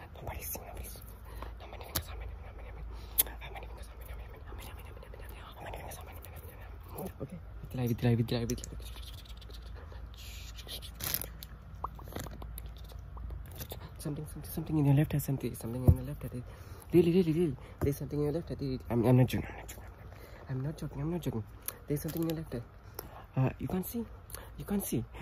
to that. Nobody's seen, nobody's seen. How many fingers, Something, something, something in your left hand, something, something in the left hand. Really, really, really. There's something in your left I'm, I'm not joking, I'm not joking. I'm not joking, I'm not joking. There's something in your left hand. Uh, you can't see. You can't see.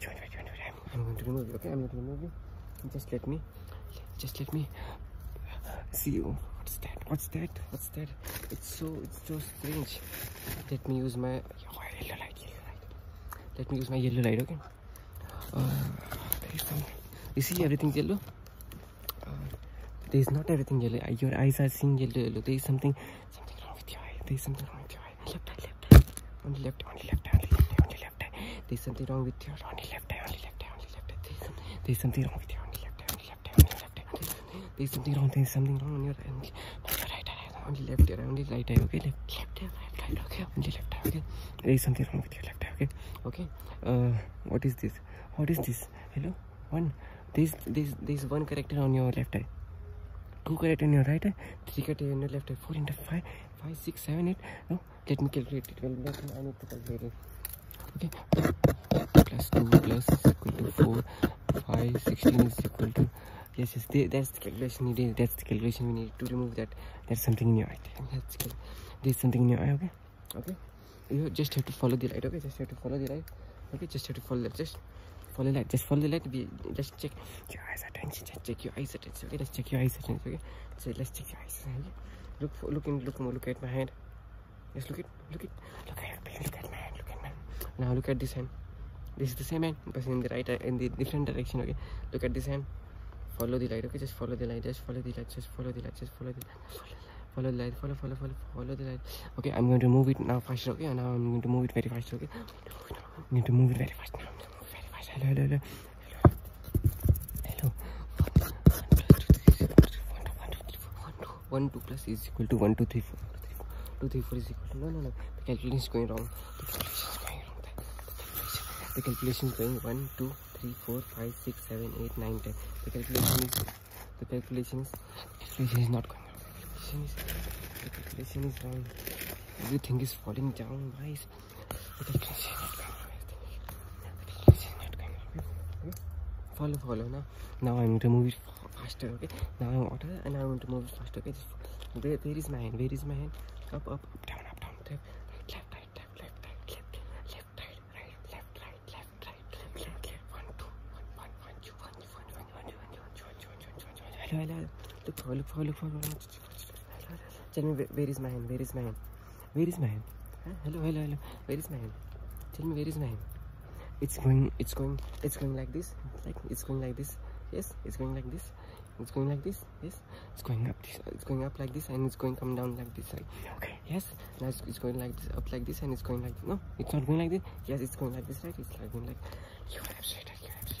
Wait, wait, wait, wait. I'm, going to remove you, okay? I'm going to remove you. Just let me, just let me see you. What's that? What's that? What's that? It's so, it's so strange. Let me use my yellow light, yellow light. Let me use my yellow light, okay? Uh, you see everything yellow? Uh, there is not everything yellow. Your eyes are seeing yellow, yellow. There is something, something wrong with your eye. There is something wrong with your eye. right, left eye, left eye. Only left eye, only left eye, only left eye, only left eye. There's something wrong with your only left eye, only left eye, only left eye. There's, some, there's something wrong with your only left eye, only left eye, only left eye. There's something wrong, there's something wrong on your only, not your right eye, only left eye, only right eye, okay? Left, left eye, left eye, okay? Only left eye, okay? There's something wrong with your left eye, okay? Okay? Uh, what is this? What is this? Hello? One. There's, there's, there's one character on your left eye. Two character on your right eye. 3 cut into left 4 into 5 let me calculate it well let me, i need to calculate it okay plus 2 plus equal to 4 5 16 is equal to yes yes that's the calculation it is that's the calculation we need to remove that there's something in your eye that's good. there's something in your eye okay okay you just have to follow the light okay just have to follow the light okay just have to follow that just Follow light. Just follow the light. We just check your eyes attention. Just check your eyes attention. Okay, let's check your eyes attention. Okay, so let's check your eyes. Okay? Look, for, look in, look more. Look at my hand. Just look at, look at, look at, look at my hand. Look at my hand. Now look at this hand. This is the same hand, but in the right, in the different direction. Okay, look at this hand. Follow the light. Okay, just follow the light. Just follow the light. Just follow the light. Just follow the light. Just follow the light follow the light follow follow follow follow the light okay i'm going to move it now faster okay and now i'm going to move it very fast okay no, no. Need to move it very fast. No, need to move very fast. Hello, hello, hello. Hello. One two plus is equal to one two three four. Two three four is equal to no no no. The calculation is going wrong. The calculation is going wrong. The calculation is going one two three four five six seven eight nine ten. The calculation is the calculation is the calculation is not look at Christian is down. Everything is falling down, guys. Look at Christian is down. Follow, follow now. Now I'm going to move it faster, okay? Now I'm water and I'm going to move it faster, okay? Where, where is my hand? Where is my hand? Up, up, up, down, up, down, left, left, right, left, left, right, left, left, right, right, left, right, left, right, left, left, left, one, two, one, one, one, two, one. Hello, hello. Look for, look for, look for. Tell me, where is my hand? Where is my hand? Where is my hand? Hello, hello, hello. Where is my hand? Tell me, where is my hand? It's going, it's going, it's going like this. Like, it's going like this. Yes, it's going like this. It's going like this. Yes, it's going up. This, it's going up like this, and it's going come down like this. Like, okay. Yes. Now it's, it's going like this, up like this, and it's going like this. no. It's not going like this. Yes, it's going like this. Right? It's like going like. You are absolutely. You are absolutely.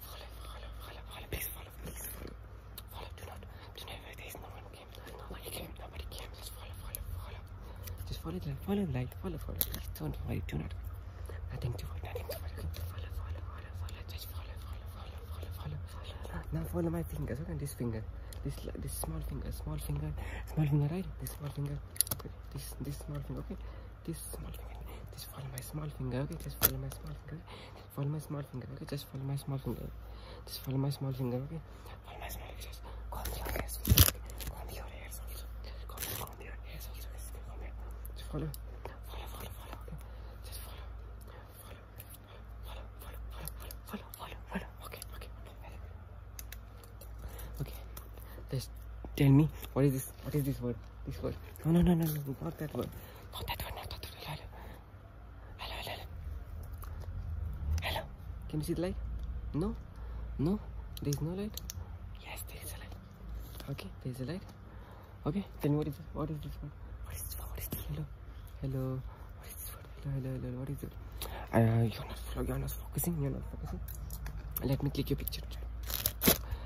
Follow, follow, follow, follow. Please follow, please follow. do not. Do not. There is no one came. Nobody came. Nobody came. Just follow, follow, follow. Just follow the light. Follow Follow, follow. Please don't Do not. Nothing to worry. Nothing to worry. Follow, follow, follow, follow. Just follow, follow, follow, follow, follow, follow. Now follow my fingers. Look at this finger. This this small finger. Small finger. Small finger. Right. This small finger. This this small finger. Okay this small finger just follow my small finger okay just follow my small finger just follow my small finger okay just follow my small finger just follow my small finger okay follow my small finger just comb your hairs comb your hairs also comb, comb your hairs also just comb your just follow follow follow follow okay just follow follow follow follow follow follow follow follow okay okay okay just tell me what is this what is this word? This word. No, no, no, no, no. Not that word. Not that word. Not that word. Hello, hello, hello. Hello. Can you see the light? No, no. There is no light. Yes, there is a light. Okay, there is a light. Okay. Then what is it? What is this word? What is this word? What is this? Hello, hello. What is this word? Hello, hello, hello. What is it? Uh, you're not. You're not focusing. You're not focusing. Let me click your picture.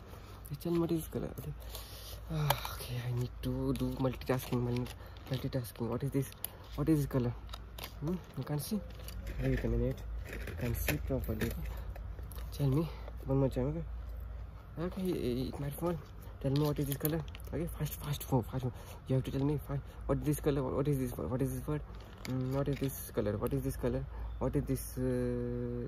problem HL mud is color okay I need to do multitasking multitasking what is this what is this color hmm? you can't see wait a minute you can see properly tell me one more time okay okay it might fall tell me what is this color okay fast fast form fast form. you have to tell me fast. what is this color what is this what is this word mm, what is this color what is this color what is this uh,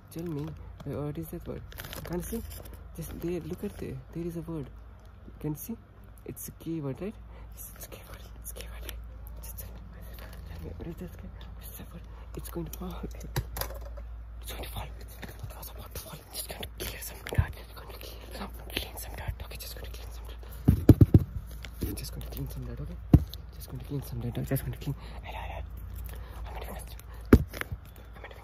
tell me uh, what is that word can see just there look at there there is a word you can see it's a keyword right it's, it's keyword it's keyword right? just tell me, tell me what is that it's, a word. it's going to fall it's going to fall it's, it's to fall just going to clear some dirt it's going to clear some clean some dirt okay just going to clean some dirt i just going to clean some dirt okay just going to clean some dirt I'm just going to clean I, I, I.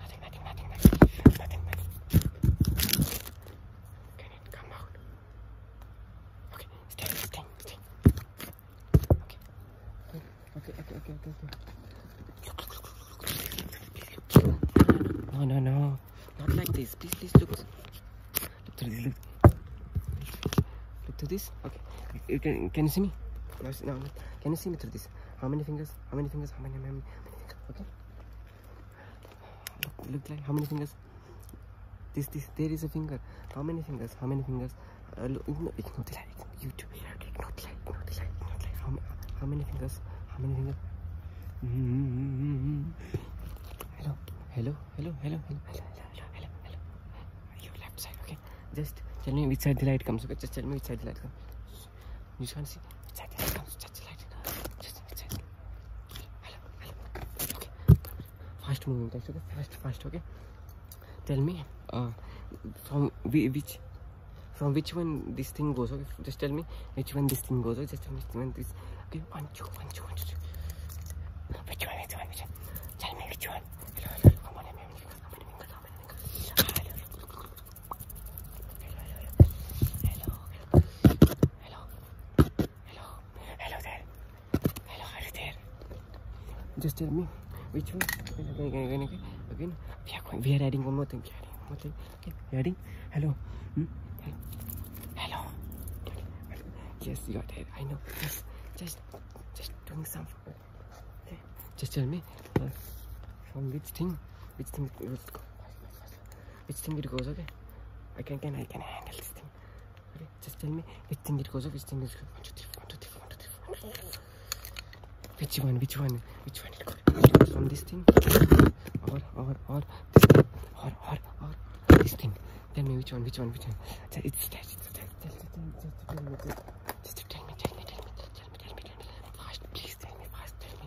Nothing, nothing, nothing, nothing, nothing, nothing. come out? Okay, stay, stay, stay. Okay. Okay, okay, okay, okay, No, no, no. Not like this. Please, please look. Look to this. Look, look to this. Okay. can, can you see me? No, no, Can you see me through this? How many fingers? How many fingers? How many? How many, how many fingers? Okay. Look, look like how many fingers? This, this, there is a finger. How many fingers? How many fingers? Uh, look, ignore, ignore the light. YouTube, ignore the light, ignore the light, ignore the light. How, how many fingers? How many fingers? Mm -hmm. Hello, hello, hello, hello, hello, hello, hello, hello, hello. Your left side, okay? Just tell me which side the light comes, okay? Just tell me which side the light comes house. You just want to see inside the house. Touch the light in the house. Just inside. Hello, hello. Okay. Fast moving lights, okay? Fast, fast, okay? Tell me uh, from which from which one this thing goes, okay? Just tell me which one this thing goes, okay? Just tell me which one this. Okay, one, two, one, two, one, two. Which one, which one, which one? Tell me which one. Hello, hello. Come on, I'm coming, I'm coming, I'm coming. Hello, hello. just tell me which one again again again we are going we are adding one more thing we are adding one more thing okay we are adding hello hmm? hello yes you are there i know yes just just doing some okay. Eh, just tell me uh, from which thing which thing it was Which finger goes okay? I can can I can handle this thing. Okay, just tell me which finger goes okay, which finger goes one two three one two three one two three one two three. Which one? Which one? Which one? It goes from this thing or or or this thing or or or this thing. Tell me which one? Which one? Which one? It's that. It's that. Tell me. Tell me. Just tell me. Tell me. Tell me. Tell me. Tell me. Tell me. Fast, please. Tell me fast. Tell me.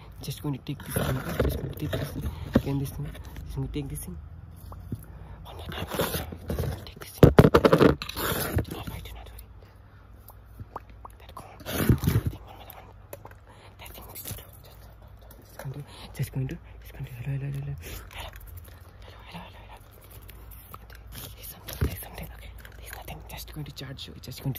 just going to take this thing. Just going to take this thing. Again, this thing. Just going to take this thing. One oh more time. Just going to take this thing. Do not worry, do not worry. That corn. That thing, one more one. That thing. Just, just, just going to, just going to, just going to. Hello, hello, hello, hello. Going to charge you. It's just going to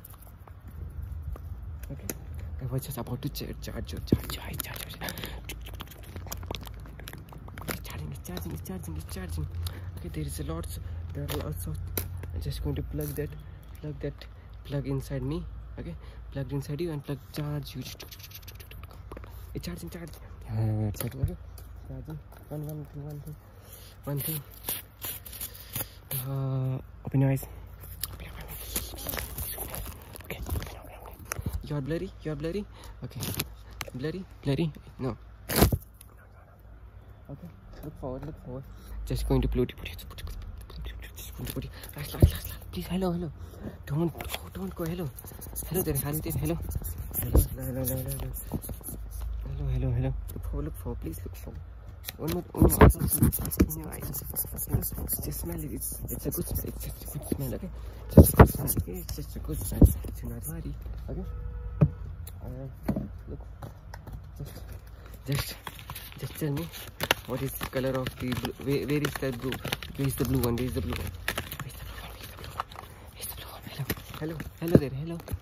Okay. I was just about to charge, charge, charge, charge, charge. It's charging, it's charging, it's charging, it's charging. Okay, there is a lot. There are lots of. I'm just going to plug that, plug that, plug inside me. Okay, plugged inside you and plug charge you. It's charging, charging. Yeah, it's charging. Charging. One, one, two, one, two, one, two. open your eyes. Open your eyes. Okay, You are bloody? You are bloody? Okay. Bloody? Bloody? No. Okay, look forward, look forward. Just going to bloody put it. Just going to put it. Last, last, last, Please, hello, hello. Don't go, oh, don't go. Hello. Hello there, hello hello. Hello, hello, hello, hello. Hello, hello, hello. Look forward, look forward. Please look forward. One more, one more item in your eyes. It's, it's just smell. It. It's, it's a good smell. It's just a good smell. Okay, just a good smell. Okay, it's just a good smell to my body. Okay. Uh, look. Just, just, just tell me what is the color of the blue? Where, where is the blue? Where is the blue one? Where is the blue one? Where is the blue one? Where is the blue one? Hello, hello, hello there. Hello.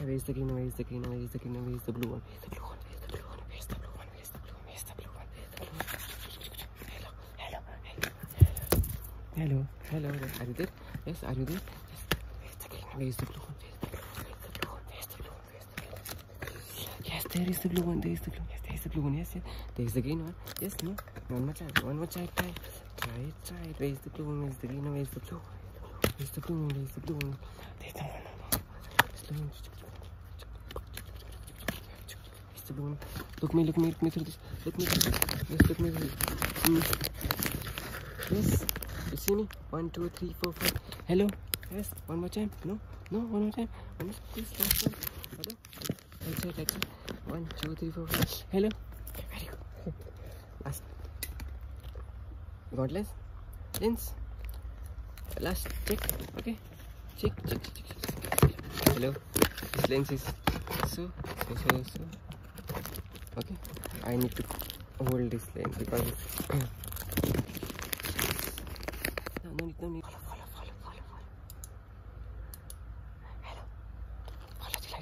Where is the green? Where is the green? Where is the green? Where is the blue one? Where is the blue one? Where is the blue one? Where is the blue one? Where is the blue one? Where is the blue one? Where is the blue one? Hello, hello, hello, hello, hello. Are you there? Yes, are you there? Yes. the green? Where is the blue one? Yes, there is the blue one. There is the blue. Yes, there is the blue one. Yes, There is the green one. Yes, One more try. One more try. Try, try, try. Where's the blue one? Where's the green one? Where's the blue one? Where's the blue one? Where's the blue one? There's the one. There's the one. Where's the blue one? Look me, look me, look me through this. Look me through this. Yes, look me through this. Yes. You see me? One, two, three, four, five. Hello? Yes. One more time. No? No? One more time. One more time. Please, last one. Hello? Right side, right side. One, two, Hello. Very good. Last. Godless. Lens. Last. Check. Okay. Check, check, check, check. Hello. This lens is so, so, so, so. Okay. I need to hold this lens because. no, Hello.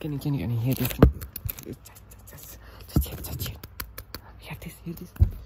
Can you can you can you hear this? Just just hear just hear. Hear this hear this.